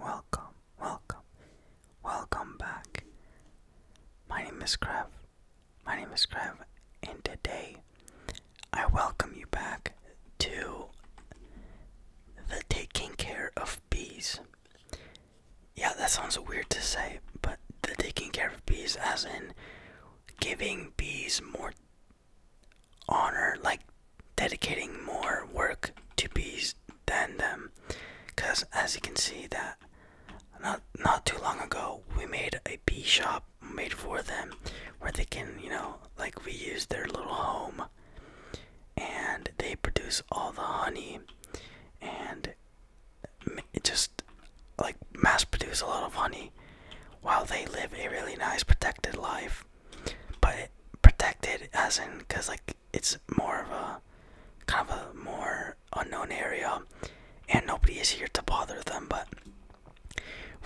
welcome, welcome, welcome back. My name is Krav. My name is Krav, and today I welcome you back to the taking care of bees. Yeah, that sounds weird to say, but the taking care of bees, as in giving bees more honor like dedicating more work to bees than them because as you can see that not not too long ago we made a bee shop made for them where they can you know like reuse their little home and they produce all the honey and it just like mass produce a lot of honey while they live a really nice protected life but protected as in because like it's more of a kind of a more unknown area and nobody is here to bother them but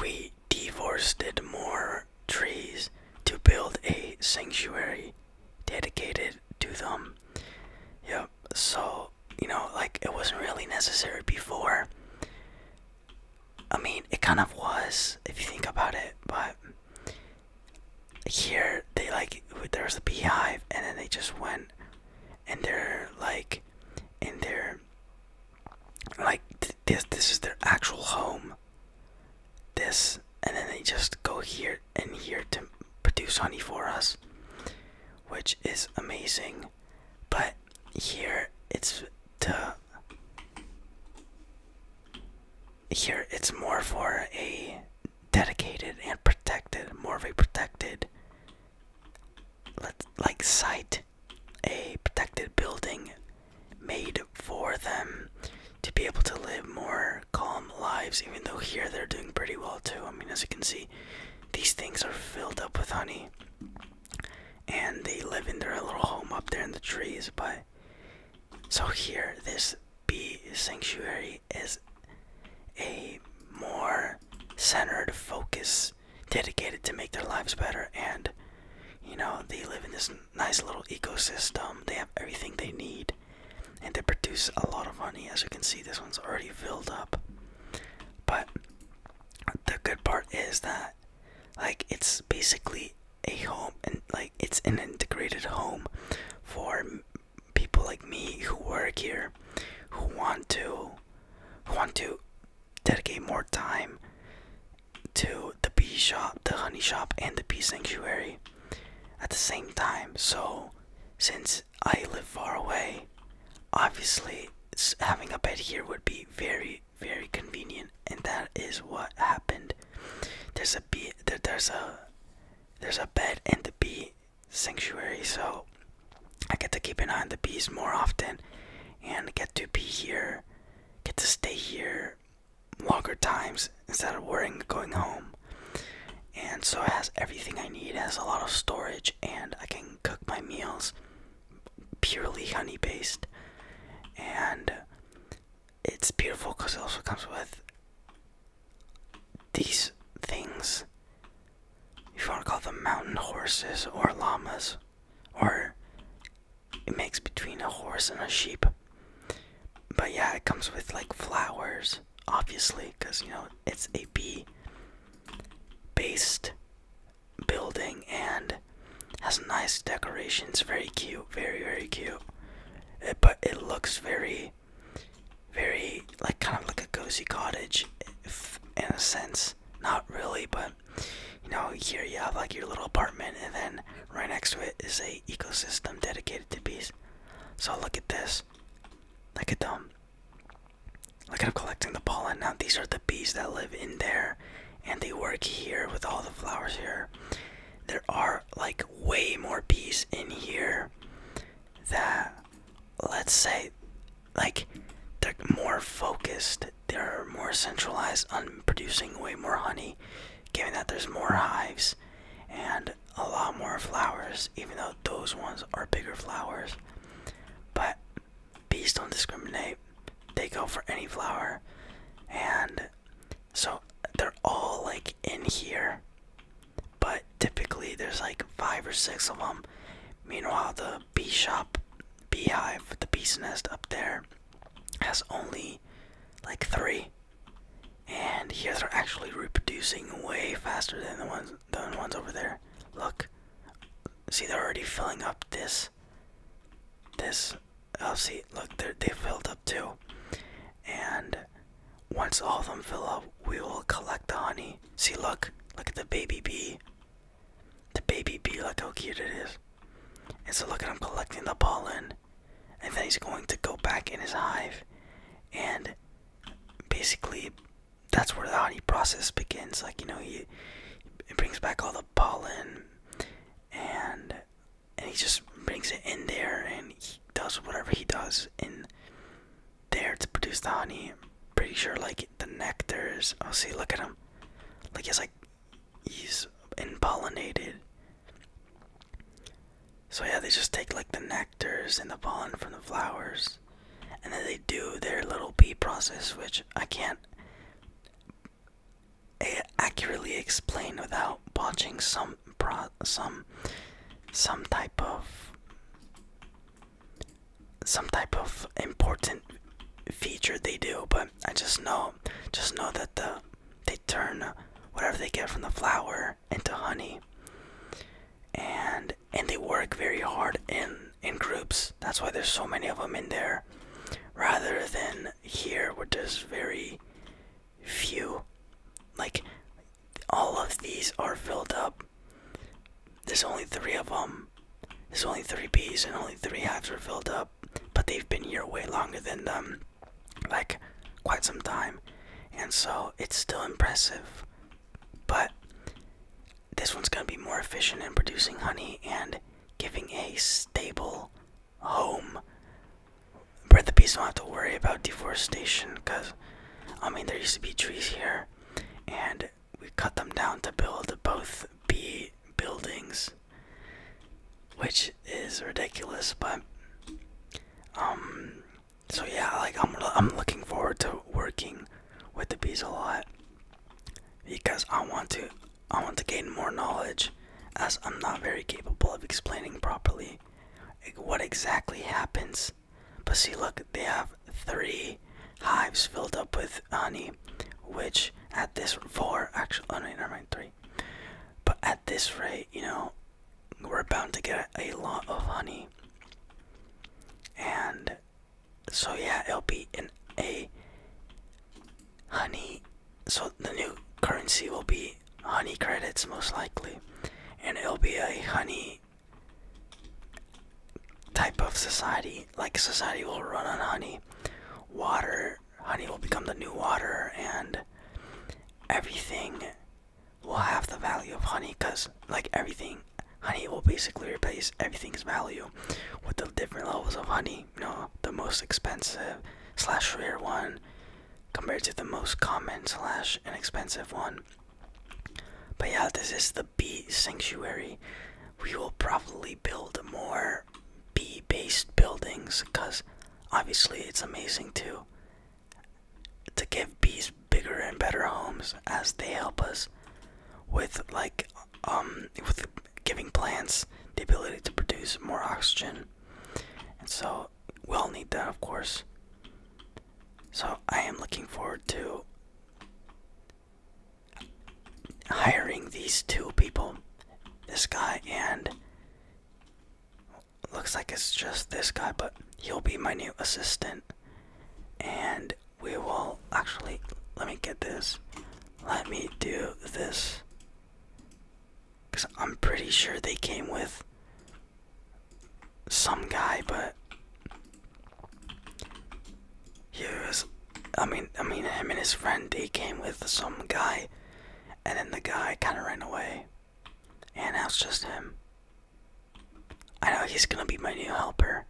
we deforested more trees to build a sanctuary dedicated to them yep so you know like it wasn't really necessary before I mean, it kind of was if you think about it, but here they like there's a beehive, and then they just went and they're like, in their like this this is their actual home. This, and then they just go here and here to produce honey for us, which is amazing. But here it's to here it's more for a dedicated and protected more of a protected like site a protected building made for them to be able to live more calm lives even though here they're doing pretty well too i mean as you can see these things are filled up with honey and they live in their little home up there in the trees but so here this bee sanctuary is a more centered focus dedicated to make their lives better and you know they live in this nice little ecosystem they have everything they need and they produce a lot of honey as you can see this one's already filled up but the good part is that like it's basically a home and like it's an integrated home for people like me who work here who want to who want to dedicate more time to the bee shop, the honey shop and the bee sanctuary at the same time. So since I live far away, obviously having a bed here would be very very convenient, and that is what happened. There's a bee. there's a there's a bed in the bee sanctuary, so I get to keep an eye on the bees more often, and get to be here, get to stay here longer times instead of worrying going home. And so it has everything I need. It has a lot of storage, and I can cook my meals purely honey based, and it's beautiful because it also comes with these things. If you want to call them mountain horses or llamas, or it makes between a horse and a sheep. But yeah, it comes with like flowers, obviously, because you know it's a bee based building and has nice decorations. Very cute, very very cute. but it looks very, very like kind of like a cozy cottage, in a sense. Not really, but you know, here you have like your little apartment, and then right next to it is a ecosystem dedicated to bees. So look at this. Look at them. Like I'm collecting the pollen now. These are the bees that live in there, and they work here with all the flowers here. There are like way more bees in here. That, let's say, like they're more focused. They're more centralized on producing way more honey, given that there's more hives and a lot more flowers. Even though those ones are bigger flowers, but Bees don't discriminate. They go for any flower. And so they're all like in here. But typically there's like five or six of them. Meanwhile, the bee shop, beehive, the bee's nest up there has only like three. And here they're actually reproducing way faster than the ones the ones over there. Look. See, they're already filling up this. This. Oh, see, look, they filled up too. And once all of them fill up, we will collect the honey. See, look. Look at the baby bee. The baby bee, look how cute it is. And so look at him collecting the pollen. And then he's going to go back in his hive and basically that's where the honey process begins. Like you know, he it brings back all the pollen, and and he just brings it in there, and he does whatever he does in there to produce the honey. pretty sure like the nectars. Oh, see, look at him. Like he's like he's impollinated. So yeah, they just take like the nectars and the pollen from the flowers and then they do their little bee process which i can't accurately explain without botching some some some type of some type of important feature they do but i just know just know that the they turn whatever they get from the flower into honey and and they work very hard in in groups. That's why there's so many of them in there, rather than here where there's very few. Like all of these are filled up. There's only three of them. There's only three bees, and only three hives are filled up, but they've been here way longer than them, like quite some time, and so it's still impressive. But this one's going to be more efficient in producing honey and giving a stable home. But the bees don't have to worry about deforestation because, I mean, there used to be trees here and we cut them down to build both bee buildings, which is ridiculous, but um, so yeah, like I'm I'm looking forward to working with the bees a lot because I want to I want to gain more knowledge as I'm not very capable of explaining properly what exactly happens. But see, look, they have three hives filled up with honey, which at this four actually, oh no, never mind three. But at this rate, you know, we're bound to get a lot of honey. And so yeah, it'll be in a honey. So the new currency will be honey credits most likely. And it'll be a honey type of society. Like society will run on honey. Water, honey will become the new water and everything will have the value of honey because like everything honey will basically replace everything's value with the different levels of honey No, the most expensive slash rare one compared to the most common slash inexpensive one but yeah this is the bee sanctuary we will probably build more bee based buildings because obviously it's amazing too to give bees bigger and better homes as they help us with like um with giving plants the ability to produce more oxygen and so we'll need that of course so i am looking forward to hiring these two people this guy and looks like it's just this guy, but he'll be my new assistant. And we will actually, let me get this. Let me do this. Because I'm pretty sure they came with some guy, but here's. I mean, I mean, him and his friend, they came with some guy and then the guy kind of ran away. And now it's just him. I know he's gonna be my new helper.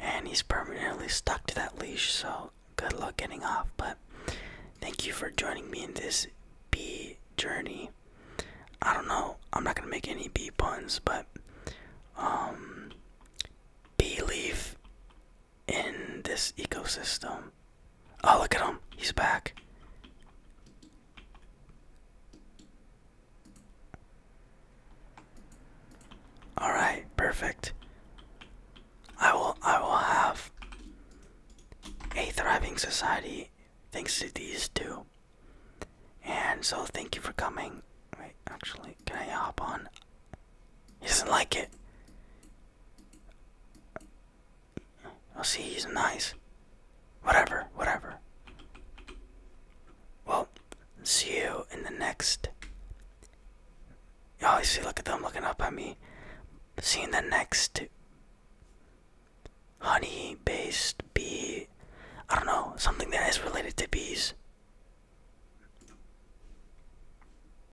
And he's permanently stuck to that leash, so good luck getting off. But thank you for joining me in this B journey. I don't know, I'm not gonna make any B puns, but um, B leaf in this ecosystem. Oh, look at him. He's back. All right, perfect. I will I will have a thriving society thanks to these two. And so thank you for coming. Wait, actually, can I hop on? He doesn't like it. Oh, see, he's nice. Whatever, whatever. Well, see you in the next. Oh, you see, look at them looking up at me. See the next honey based bee. I don't know, something that is related to bees.